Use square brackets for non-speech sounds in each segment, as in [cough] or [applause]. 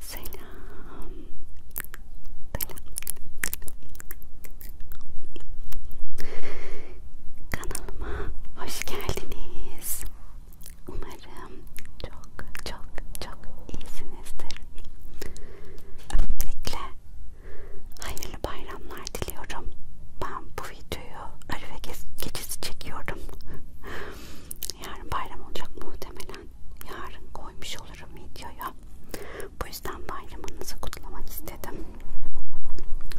Selam. Selam. Kanalıma hoş geldiniz. Umarım çok çok çok iyisinizdir. Öncelikle hayırlı bayramlar diliyorum. Ben bu videoyu Arife geçisi çekiyorum. Yarın bayram olacak muhtemelen. Yarın koymuş olurum videoya. Bu yüzden bayramınızı kutlamak istedim.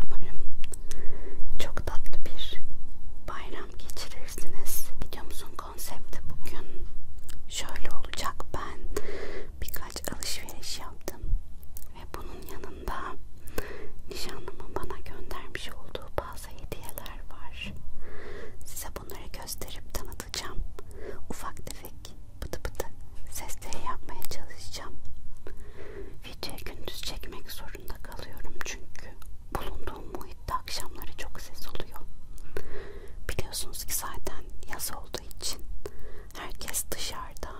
Umarım çok tatlı bir bayram geçirirsiniz. Videomuzun konsepti bugün şöyle olacak. Ben birkaç alışveriş yaptım ve bunun yanında nişanlımın bana göndermiş olduğu bazı hediyeler var. Size bunları gösterip tanıtacağım. Ufak tefek pıtı pıtı sesleri yapmaya çalışacağım. Videoyu gündüz çekmek zorunda kalıyorum çünkü bulunduğum muhitte akşamları çok ses oluyor. Biliyorsunuz ki zaten yaz olduğu için herkes dışarıda.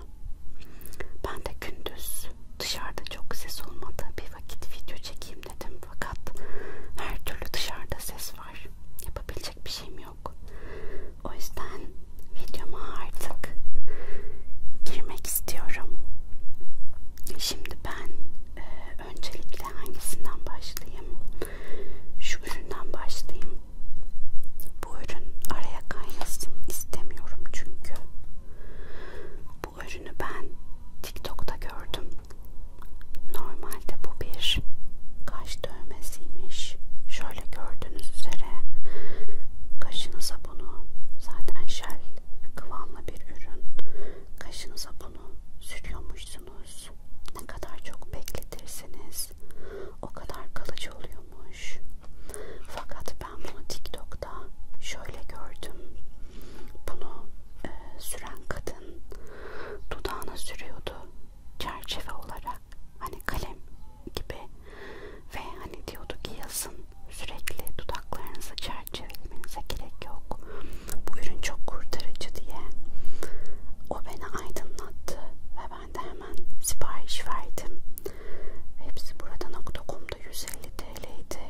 Ben de gündüz dışarıda çok ses olmadığı bir vakit video çekeyim dedim fakat her türlü dışarıda ses var. Yapabilecek bir şeyim yok. O yüzden videoma artık girmek istiyorum. Şimdi ben e, öncelikle hangisinden başlayayım? Şu üründen başlayayım. Bu ürün araya kaynasın istemiyorum çünkü. Bu ürünü ben TikTok'ta gördüm. Normalde bu bir kaş dövmesiymiş. Şöyle gördüğünüz üzere kaşınıza bunu zaten şel kıvamlı bir ürün. Kaşınıza bunu sürüyormuşsunuz. Ne kadar çok bekletirseniz o kadar kalıcı oluyormuş. Fakat ben bunu TikTok'ta şöyle gördüm. Bunu e, süren kadın dudağına sürüyordu çerçeve olarak hani kalem gibi ve hani diyordu ki yazın sürekli dudaklarınızı çerçevelemenize gerek yok. Bu ürün çok kurtarıcı diye. O beni aydınlattı ve ben de hemen sipariş verdim. Hepsi burada.com'da 150 TL'ydi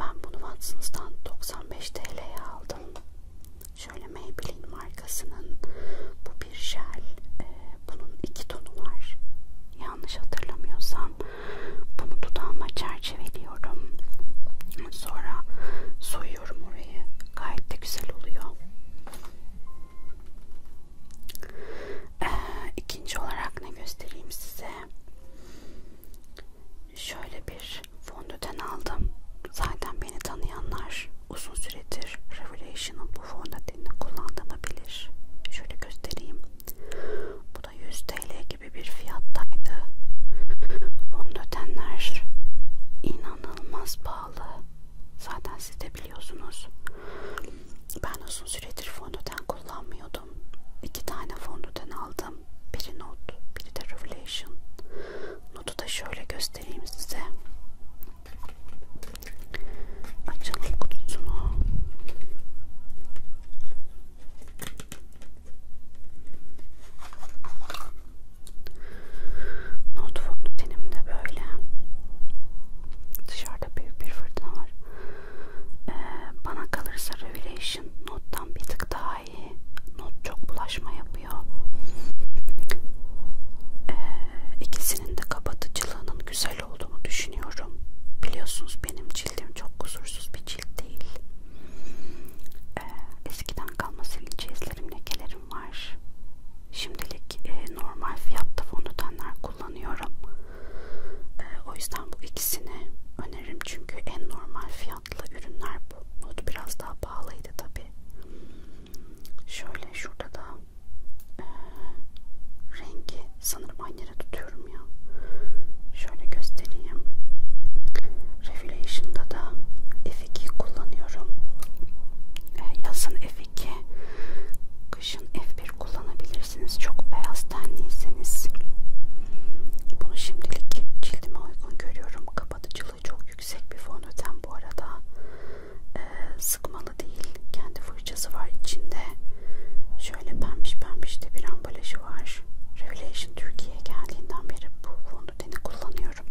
ben bunu Watson's'tan 95 TL'ye aldım. Şöyle Maybelline markasının bu bir jel. Ee, bunun iki tonu var. Yanlış hatırlamıyorsam bunu dudağıma çerçeveliyorum. Sonra soyuyorum orayı. Gayet de güzel oluyor. Ee, ikinci olarak ne göstereyim size? Şöyle bir fondöten aldım. Zaten beni tanıyanlar uzun süredir Revelation'ın bu fondötenini kullandığımı bilir. Şöyle göstereyim. Bu da 100 TL gibi bir fiyattaydı. Fondötenler inanılmaz pahalı. Zaten siz de biliyorsunuz. Ben uzun süredir fondöten kullanmıyordum okudum. İki tane fondöten aldım. Biri not, biri de Revelation. Notu da şöyle göstereyim size. Açalım kutusunu. Not fondutenim de böyle. Dışarıda büyük bir fırtına var. Ee, bana kalırsa Revelation nottan bir tık daha iyi. Not çok bulaşma yapıyor. Ee, ikisinin de kapatıcılığının güzel olduğunu düşünüyorum. Biliyorsunuz benim cildim çok kusursuz bir cilt değil. Ee, eskiden kalma sivilce izlerim, lekelerim var. Şimdilik e, normal fiyatta fondötenler kullanıyorum. Ee, o yüzden bu ikisini öneririm çünkü en normal fiyatlı ürünler bu. Nude biraz daha pahalıydı tabi. Şöyle şurada da e, rengi sanırım aynı yere tutuyorum ya. Şöyle göstereyim. Revelation'da da F2 kullanıyorum. E, yazın F2, kışın F1 kullanabilirim yapabilirsiniz. Çok beyaz tenliyseniz. Bunu şimdilik cildime uygun görüyorum. Kapatıcılığı çok yüksek bir fon öten bu arada. Ee, sıkmalı değil. Kendi fırçası var içinde. Şöyle pembiş pembiş de bir ambalajı var. Revelation Türkiye'ye geldiğinden beri bu fon öteni kullanıyorum.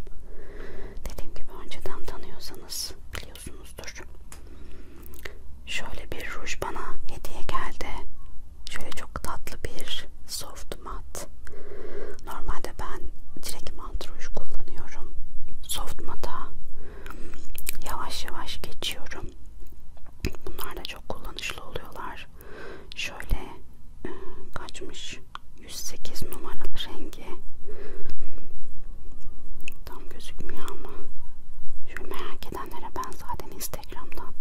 Dediğim gibi önceden tanıyorsanız biliyorsunuzdur. Şöyle bir ruj bana hediye geldi. Şöyle çok tatlı bir soft mat. Normalde ben direkt mat ruj kullanıyorum. Soft mata yavaş yavaş geçiyorum. Bunlar da çok kullanışlı oluyorlar. Şöyle e, kaçmış 108 numaralı rengi. Tam gözükmüyor ama. Şöyle merak merak edenlere ben zaten Instagram'dan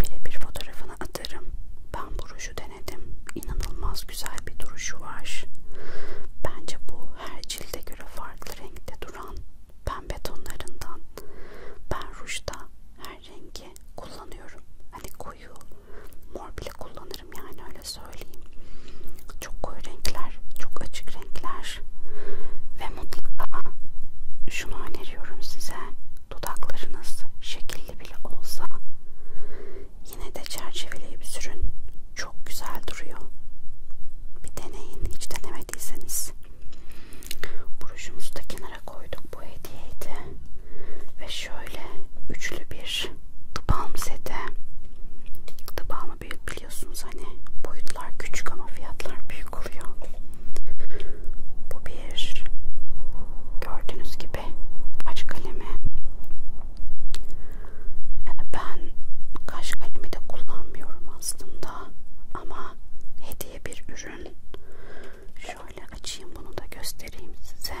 birebir fotoğrafını atarım. Ben bu ruju denedim. İnanılmaz güzel bir duruşu var. Bence bu her cilde göre farklı renkte duran pembe tonlarından. Ben rujda her rengi kullanıyorum. Hani koyu mor bile kullanırım yani öyle söyleyeyim. Çok koyu renkler, çok açık renkler var ve mutlaka şunu öneriyorum size dudaklarınız şekilli bile olsa yine de çerçeveleyip sürün çok güzel duruyor bir deneyin hiç denemediyseniz buruşumuzu da kenara koyduk bu hediyeydi ve şöyle üçlü bir tıbalm seti tıbalmı daha büyük biliyorsunuz hani boyutlar küçük ama fiyatlar büyük oluyor. Bu bir gördüğünüz gibi kaş kalemi. Ben kaş kalemi de kullanmıyorum aslında ama hediye bir ürün. Şöyle açayım bunu da göstereyim size.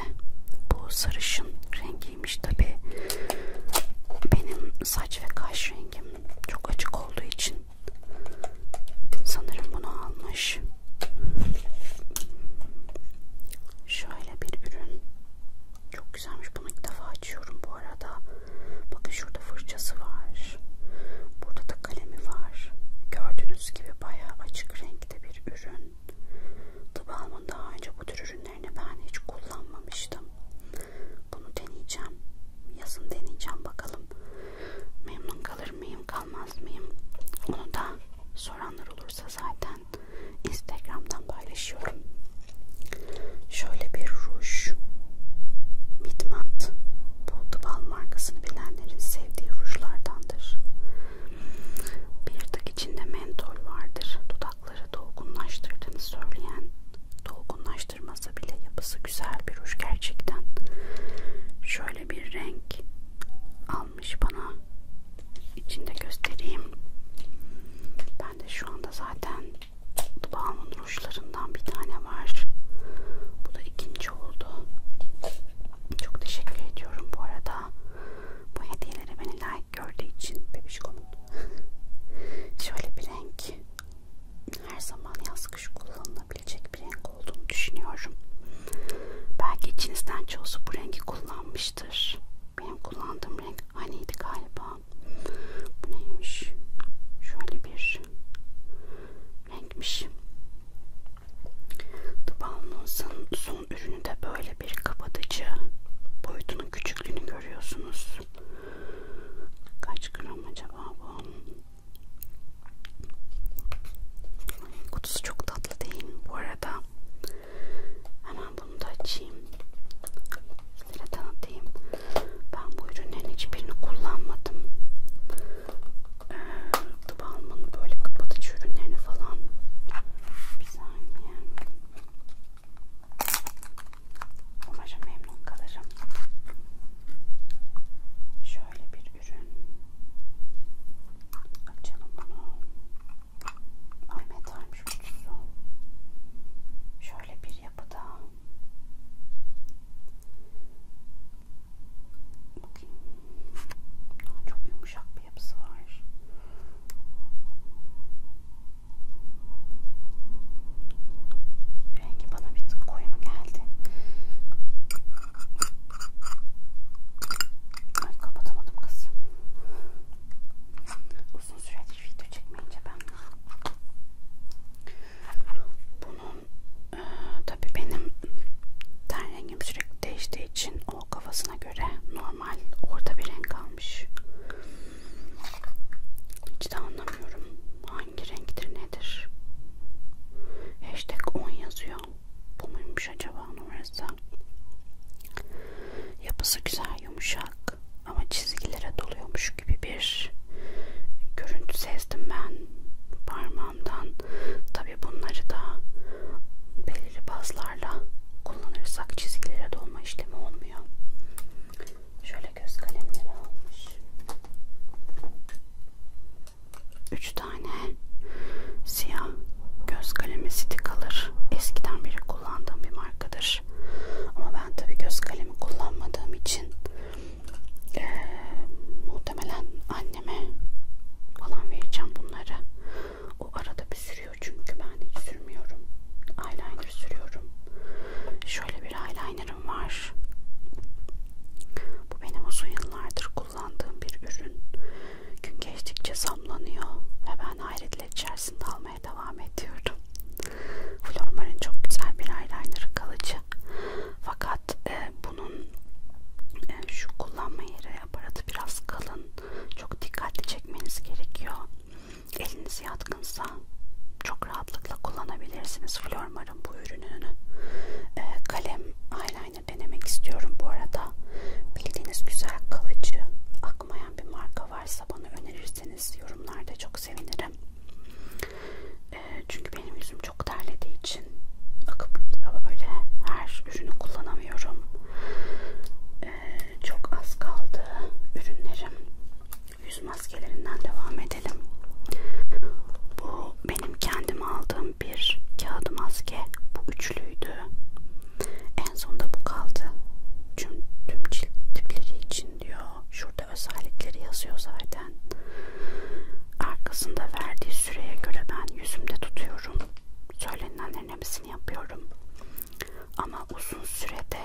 Bu sarışın rengiymiş tabi. Benim saç ve kaş rengim çok açık olduğu için Sanırım bunu almış. Şöyle bir ürün. Çok güzelmiş. Bunu ilk defa açıyorum bu arada. Bakın şurada fırçası var. Burada da kalemi var. Gördüğünüz gibi bayağı açık renkte bir ürün. Tıbalmın daha önce bu tür ürünlerini ben hiç kullanmamıştım. Bunu deneyeceğim yazın deneyeceğim bakalım memnun kalır mıyım kalmaz mıyım onu da soranlar olursa zaten instagramdan paylaşıyorum şöyle bir ruj midmat bu Duval markasını bilenlerin sevdiği rujlardandır bir tık içinde mentol vardır dudakları dolgunlaştırdığını söyleyen dolgunlaştırıcı karıştırmasa bile yapısı güzel bir ruj gerçekten. Şöyle bir renk almış bana. İçinde göstereyim. Ben de şu anda zaten dudağımın rujlarından bir tane var. Bu da ikinci oldu. Çok teşekkür ediyorum bu arada. Bu hediyelere beni layık like gördüğü için bebişkomun. [laughs] Şöyle bir renk her zaman yaz kış kullanılabilecek bir renk olduğunu düşünüyorum. Belki içinizden çoğusu bu rengi kullanmıştır. Benim kullandığım renk haniydi galiba. Bu neymiş? Şöyle bir renkmiş. The Balmons'un son ürünü de böyle bir kapatıcı. Boyutunun küçüklüğünü görüyorsunuz. Kaç gram acaba bu? Kutusu çok tatlı değil mi? Bu arada hemen bunu da açayım. Sizlere tanıtayım. Ben bu ürünlerin hiçbirini kullanmadım. Ee, Tıbalmın böyle kapatıcı ürünlerini falan. Bir saniye. Umarım memnun kalırım. Şöyle bir ürün. Açalım bunu. Ay metalmiş kutusu. Şöyle bir yapıda. Bakayım. Çok yumuşak bir yapısı var. Rengi bana bir tık koyu mu geldi? Ay kapatamadım kız. Uzun süredir video çekmeyince ben bunun e, tabii benim ten rengim sürekli değiştiği için o kafasına göre normal orada bir renk almış. Hiç de anlamıyorum. Hangi renktir nedir? Hashtag 10 yazıyor. Bu muymuş acaba numarası? Yapısı güzel yumuşak ama çizgilere doluyormuş gibi bir görüntü sezdim ben parmağımdan. Tabi bunları da belirli bazlarla kullanırsak çizgilere dolma işlemi olmuyor. Şöyle göz kalemleri almış. Üç tane siyah göz kalemi stikalar. Eskiden beri kullandığım bir markadır. Ama ben tabi göz kalemi kullanmadığım için e, muhtemelen anneme falan vereceğim bunları. O arada bir sürüyor çünkü ben hiç sürmüyorum. Eyeliner sürüyorum. Şöyle bir eyeliner eyelinerım var. Bu benim uzun yıllardır kullandığım bir ürün. Gün geçtikçe zamlanıyor ve ben hayretler içerisinde almaya devam ediyorum. Flormar'ın çok güzel bir eyeliner kalıcı. Fakat e, bunun e, şu kullanma yeri aparatı biraz kalın. Çok dikkatli çekmeniz gerekiyor eliniz yatkınsa çok rahatlıkla kullanabilirsiniz Flormar'ın bu ürününü. Ee, kalem eyeliner denemek istiyorum bu arada. Bildiğiniz güzel kalıcı akmayan bir marka varsa bana önerirseniz yorumlarda çok sevinirim. Ee, çünkü benim yüzüm çok terlediği için akıp böyle her ürünü kullanamıyorum. Ee, çok az kaldı ürünlerim yüz maskelerinden devam edelim. Bu benim kendime aldığım bir kağıdı maske. Bu üçlüydü. En sonda bu kaldı. Tüm, tüm cilt tipleri için diyor. Şurada özellikleri yazıyor zaten. Arkasında verdiği süreye göre ben yüzümde tutuyorum. Söylenenlerin hepsini yapıyorum. Ama uzun sürede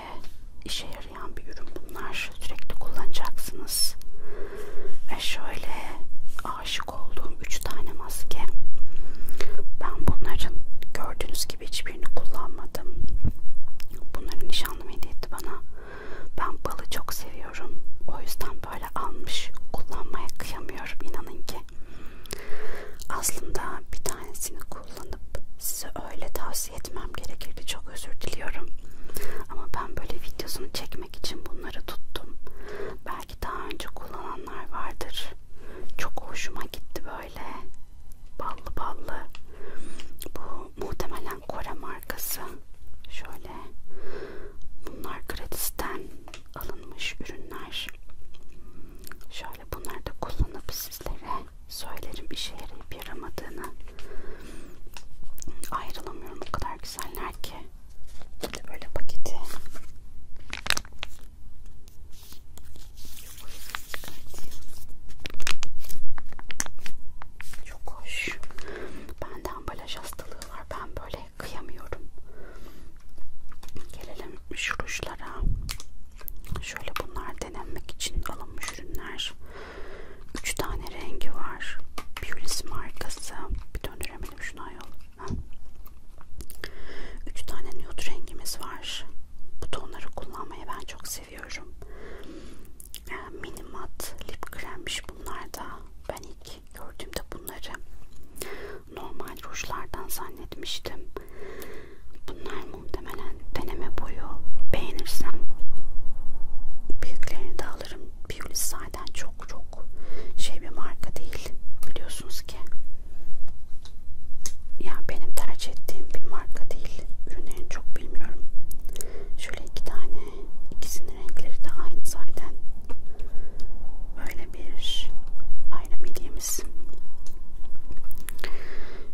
işe yarar yarayan bir ürün bunlar. Sürekli kullanacaksınız. Ve şöyle aşık olduğum 3 tane maske. Ben bunların gördüğünüz gibi hiçbirini kullanmadım. Bunların nişanlım hediye etti bana. Ben balı çok seviyorum. O yüzden böyle almış. Kullanmaya kıyamıyorum inanın ki. Aslında bir tanesini kullanıyorum kullanıp size öyle tavsiye etmem gerekirdi. Çok özür diliyorum. Ama ben böyle videosunu çekmek için bunları tuttum. Belki daha önce kullananlar vardır. Çok hoşuma gitti böyle. Ballı ballı. Bu muhtemelen Kore markası. Şöyle. Bunlar gratisten alınmış ürünler. Şöyle bunları da kullanıp sizlere söylerim işe yarayıp yaramadığını ayrılamıyorum o kadar güzeller ki böyle, böyle paketi çok hoş bende ambalaj hastalığı var ben böyle kıyamıyorum gelelim şu rujlara Şöyle bunlar denenmek için alınmış ürünler. 3 tane rengi var. Pulis markası. Bir döndüremedim şunu ayol. 3 tane nude rengimiz var. Bu tonları kullanmayı ben çok seviyorum. E, Minimat lip kremmiş bunlar da. Ben ilk gördüğümde bunları normal rujlardan zannetmiştim. Bunlar muhtemelen deneme boyu beğenirsem büyüklerini de alırım. Biolis zaten çok çok şey bir marka değil biliyorsunuz ki. Ya benim tercih ettiğim bir marka değil. Ürünlerini çok bilmiyorum. Şöyle iki tane. ikisinin renkleri de aynı zaten. Böyle bir ayrım hediyemiz.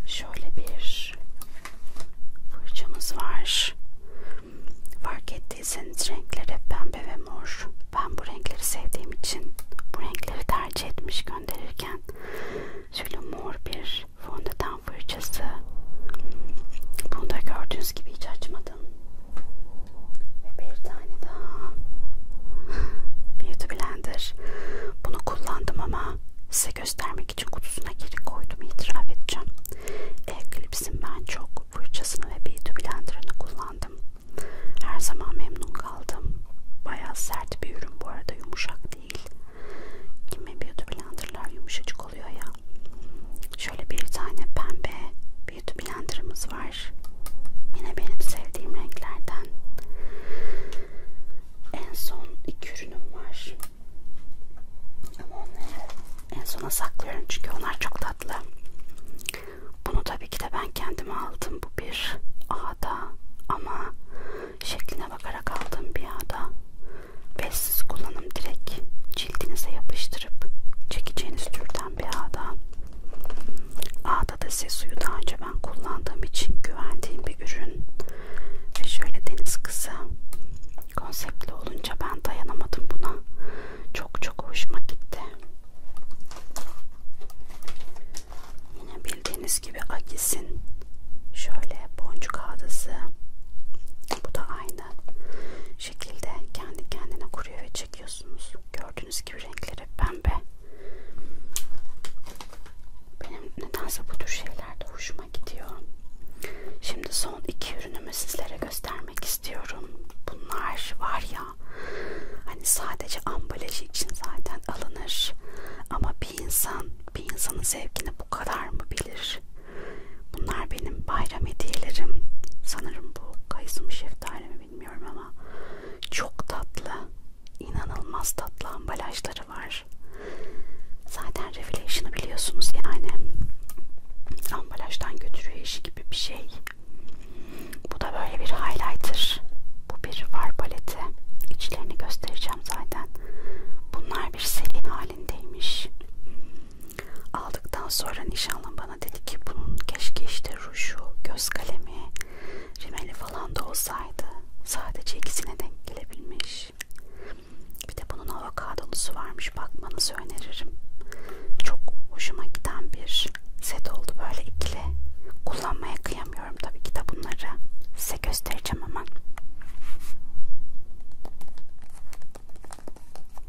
Şöyle bir var. Fırçamız var. Fark ettiyseniz renkleri hep pembe ve mor. Ben bu renkleri sevdiğim için bu renkleri tercih etmiş gönderirken şöyle mor bir fondöten fırçası. Bunu da gördüğünüz gibi hiç açmadım. Ve bir tane daha [laughs] Beauty Blender. Bunu kullandım ama size göstermedim göstermek için kutusuna geri koydum itiraf edeceğim. Eklipsin ben çok fırçasını ve beauty blenderını kullandım. Her zaman memnun kaldım. Bayağı sert bir ürün bu arada yumuşak değil. Kimi beauty blenderlar yumuşacık oluyor ya. Şöyle bir tane pembe beauty blenderımız var. Yine benim sevdiğim renklerden en son iki ürünüm var. Ama onları en sona saklıyorum çünkü onlar çok tatlı. Bunu tabii ki de ben kendime aldım. Bu bir ağda ama şekline bakarak aldığım bir ağda. Ve siz kullanım direkt cildinize yapıştırıp çekeceğiniz türden bir ağda. Ağda da size suyu daha önce ben kullandığım için güvendiğim bir ürün ve şöyle deniz kızı konseptli olunca ben dayanamadım buna çok çok hoşuma gitti yine bildiğiniz gibi Agis'in şöyle boncuk ağdası bu da aynı şekilde kendi kendine kuruyor ve çekiyorsunuz gördüğünüz gibi renkleri pembe benim nedense bu tür şeyler de hoşuma gidiyor. Şimdi son iki ürünümü sizlere göstermek istiyorum. Bunlar var ya hani sadece ambalajı için zaten alınır ama bir insan bir insanın zevkini bu kadar mı bilir? Bunlar benim bayram hediyelerim. Sanırım bu kayısı mı şeftali mi bilmiyorum ama çok tatlı inanılmaz tatlı ambalajları var. Zaten Revelation'ı biliyorsunuz yani ambalajdan götürüyor işi gibi bir şey. Bu da böyle bir highlighter. Bu bir var paleti. İçlerini göstereceğim zaten. Bunlar bir seri halindeymiş. Aldıktan sonra nişanlım bana dedi ki bunun keşke işte ruşu, göz kalemi, Rimeli falan da olsaydı sadece ikisine denk gelebilmiş. Bir de bunun avokadolusu varmış bakmanızı öneririm. Çok hoşuma giden bir set oldu böyle ikili. Kullanmaya kıyamıyorum tabii ki de bunları. Size göstereceğim hemen.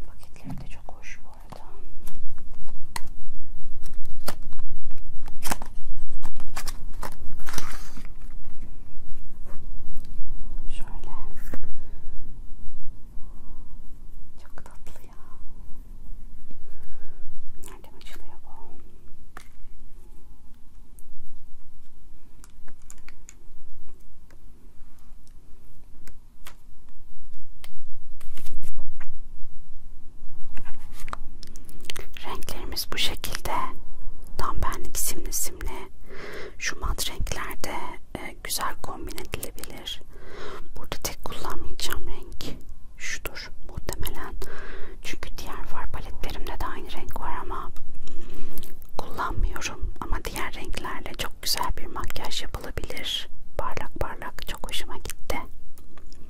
Paketleri de çok hoş bu arada. Şöyle. Çok tatlı ya. Nereden açılıyor bu? Renklerim Elbiselerimiz bu şekilde. Tam benlik simli simli. Şu mat renklerde e, güzel kombin edilebilir. Burada tek kullanmayacağım renk şudur muhtemelen. Çünkü diğer far paletlerimde de aynı renk var ama kullanmıyorum. Ama diğer renklerle çok güzel bir makyaj yapılabilir. Parlak parlak çok hoşuma gitti.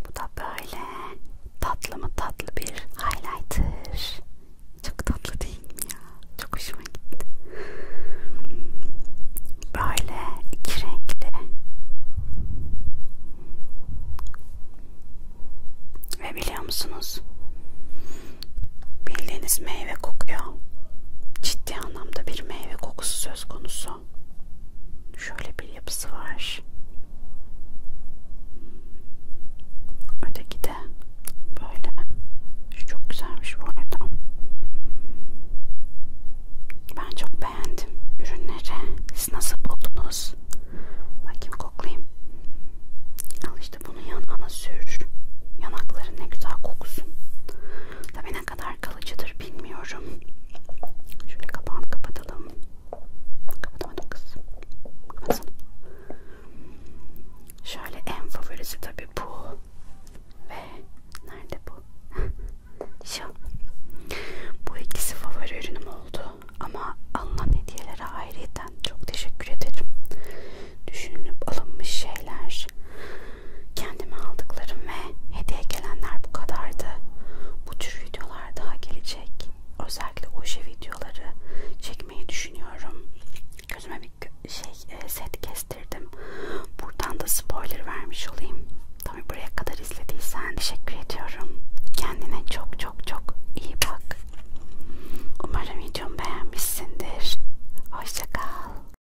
Bu da böyle tatlı mı tatlı bir highlighter. Çok tatlı değil mi ya? Çok hoşuma gitti. Böyle iki renkli. Ve biliyor musunuz? Bildiğiniz meyve kokuyor. Ciddi anlamda bir meyve kokusu söz konusu. Şöyle bir yapısı var. Öteki de böyle. Şu çok güzelmiş bu arada. Ben çok beğendim ürünleri. Siz nasıl buldunuz? Bakayım koklayayım. Al işte bunu yanağına sür. Yanakların ne güzel kokusun. Tabii ne kadar kalıcıdır bilmiyorum. Şöyle kapağını kapatalım. Kapatamadım kız. Kapatsana. Şöyle en favorisi tabii bu. Ve nerede bu? [laughs] Şu. Bu ikisi favori ürünüm oldu. Ama alınan hediyelere ayrıyeten çok teşekkür ederim. Düşünülüp alınmış şeyler. Kendime aldıklarım ve hediye gelenler bu kadardı. Bu tür videolar daha gelecek özellikle oje videoları çekmeyi düşünüyorum. Gözüme bir şey e, set kestirdim. Buradan da spoiler vermiş olayım. Tabi buraya kadar izlediysen teşekkür ediyorum. Kendine çok çok çok iyi bak. Umarım videomu beğenmişsindir. Hoşça kal.